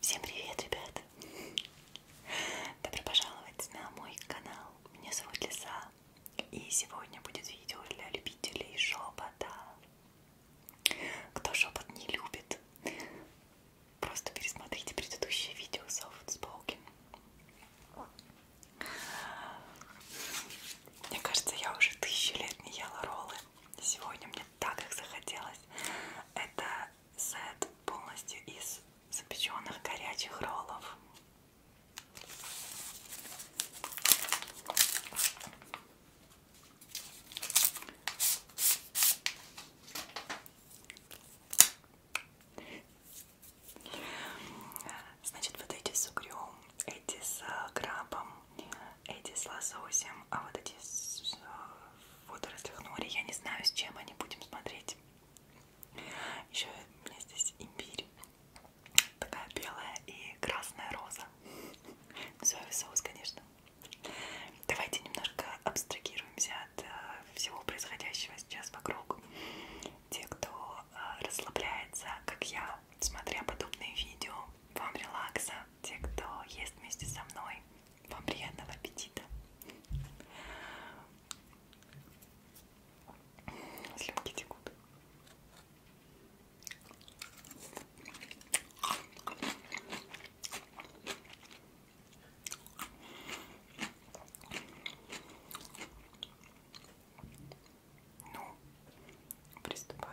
Всем привет, ребята! Добро пожаловать на мой канал. Меня зовут Лиса. И сегодня будет видео для любителей шепота. Кто шепот не любит, просто пересмотрите предыдущее видео Soft Spoken. Мне кажется, я уже тысячи лет не ела роллы. Сегодня мне так как захотелось. Это сет полностью из запеченных горячих роллов. Значит, вот эти с угрем, эти с э, крабом, эти с лососем, а вот эти с а, водорослях нори, я не знаю, с чем они будем смотреть. Еще у меня здесь имбирь, такая белая и красная роза. Соевый соус, конечно. Давайте немножко абстрагируемся от э, всего происходящего сейчас вокруг. Те, кто э, расслабляется, как я, смотря подобные видео, вам релакса, те, кто ест вместе со мной, вам приятного аппетита. Слюнки текут. Ну, приступаем.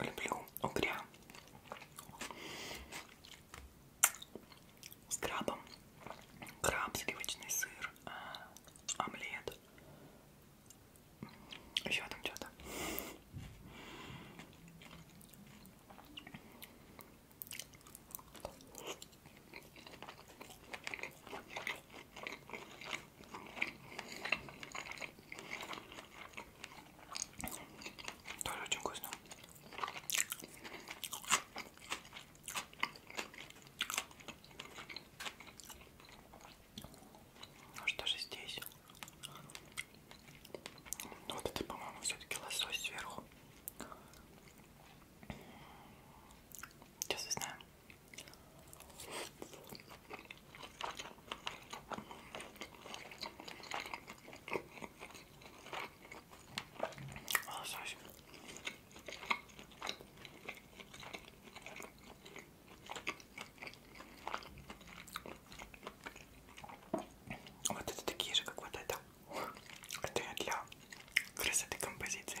люблю угря с крабом, краб, сливочный сыр, а, омлет, еще там что-то. Тоже очень вкусно. Ну что же здесь? Ну, вот это, по-моему, все-таки лосось сверху. Сейчас узнаем. Лосось. Вот это такие же, как вот это. Это я для красоты композиции.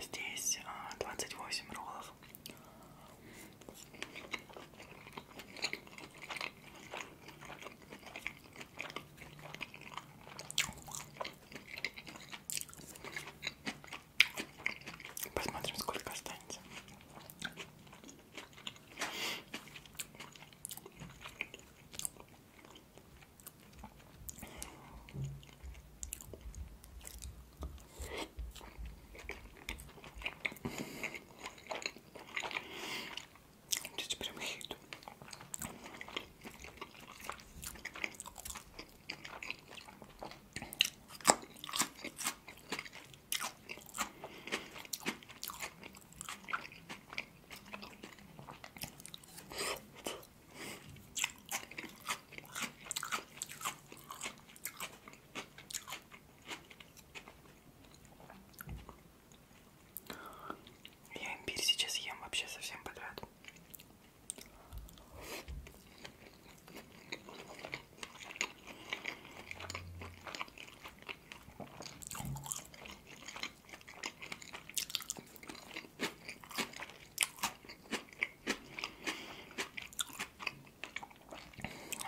Здесь а, двадцать восемь роллов. Посмотрим, сколько останется. Чуть прям хит. Я имбирь сейчас ем вообще совсем подряд.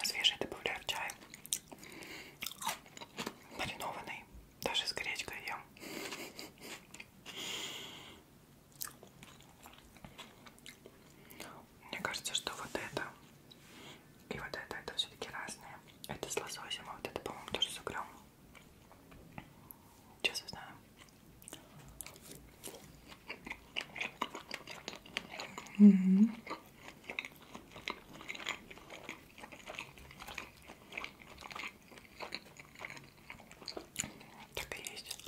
Свежий добавляю в чай. Маринованный. Даже с гречкой ем. Мне кажется, что вот это и вот это, это все-таки разные. Это с лососем, а вот это, по-моему, тоже с угром. Честно знаю. Mm -hmm. Так и есть.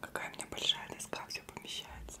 Какая у меня большая доска, все помещается.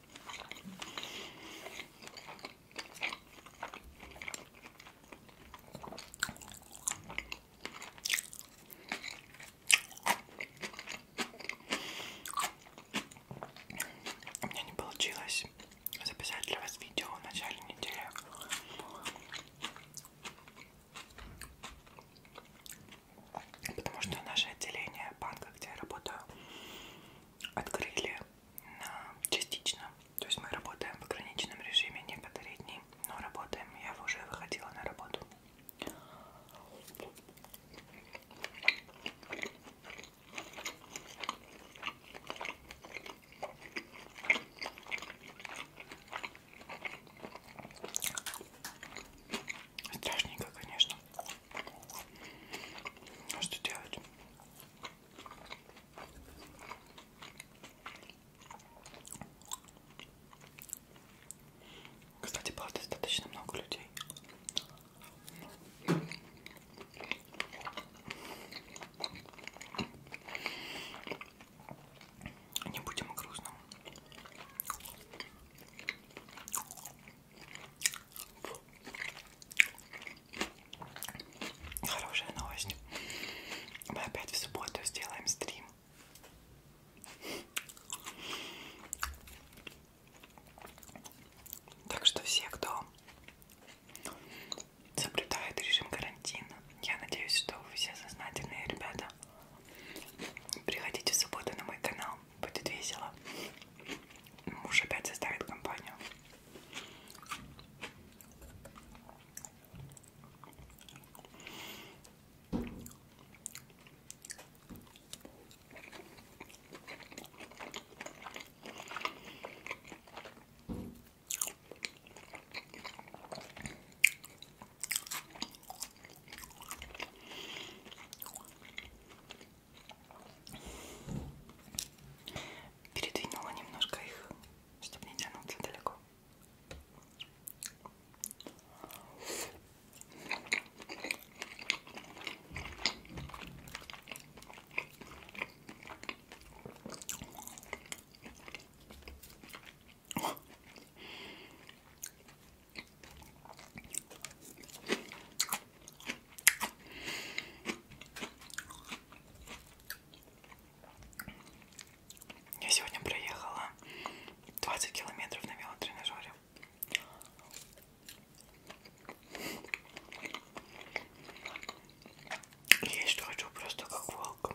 У меня не получилось записать для вас видео в начале недели. Потому что наше отделение банка, где я работаю, открыли частично. То есть мы работаем в ограниченном режиме некоторые дни, но работаем. Я уже выходила на работу. Страшненько, конечно. А что делать? Кстати, было достаточно много людей. Не будем грустным. Хорошая новость. Мы опять в субботу сделаем стрим. Так что все, кто соблюдает режим карантина, я надеюсь, что вы все сознательные ребята. Приходите в субботу на мой канал будет весело. Муж опять составит компанию. Передвинула немножко их, чтобы не тянуться далеко. Я сегодня проехала 20 километров на велотренажере. Есть хочу просто как волк.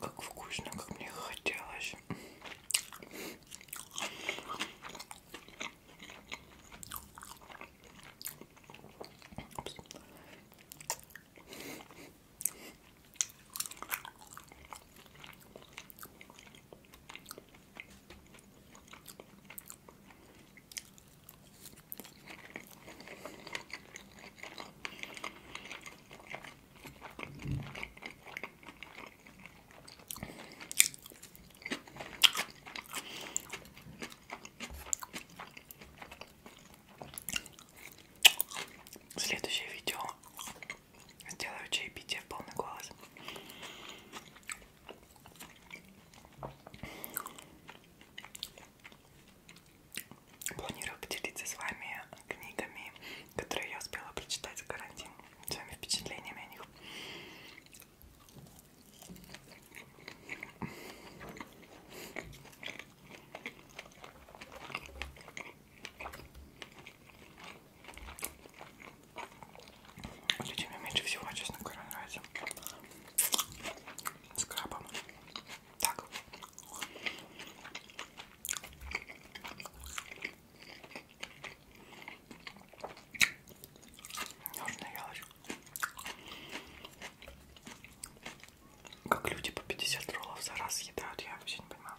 Как вкусно, как мне хотелось. Упс. Следующее видео сделаю чаепитие в полный голос. Планирую поделиться с вами книгами, которые я успела прочитать в карантин, своими впечатлениями о них. Лечи мне меньше всего, честно говоря, нравится. С крабом. Так. Нужная ялочь. Как люди по 50 роллов за раз съедают, я вообще не понимаю.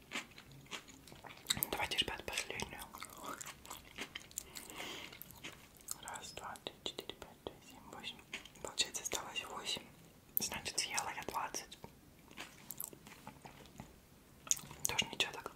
Давайте, ребят, последнюю. Раз, два, три, четыре, пять, шесть, семь, восемь. Получается, осталось восемь. Значит, съела я двадцать. Тоже ничего так.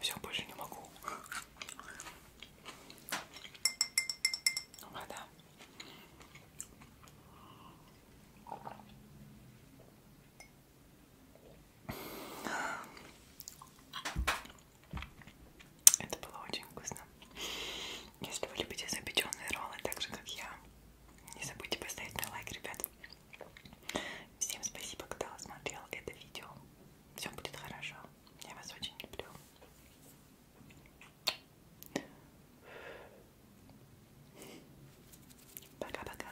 Все, больше не могу. Ну вода. Это было очень вкусно. Если вы любите запеченные роллы, так же как я, не забудьте поставить на лайк, ребят. Всем спасибо, кто смотрел это видео. Все будет хорошо. Я вас очень люблю. Пока-пока.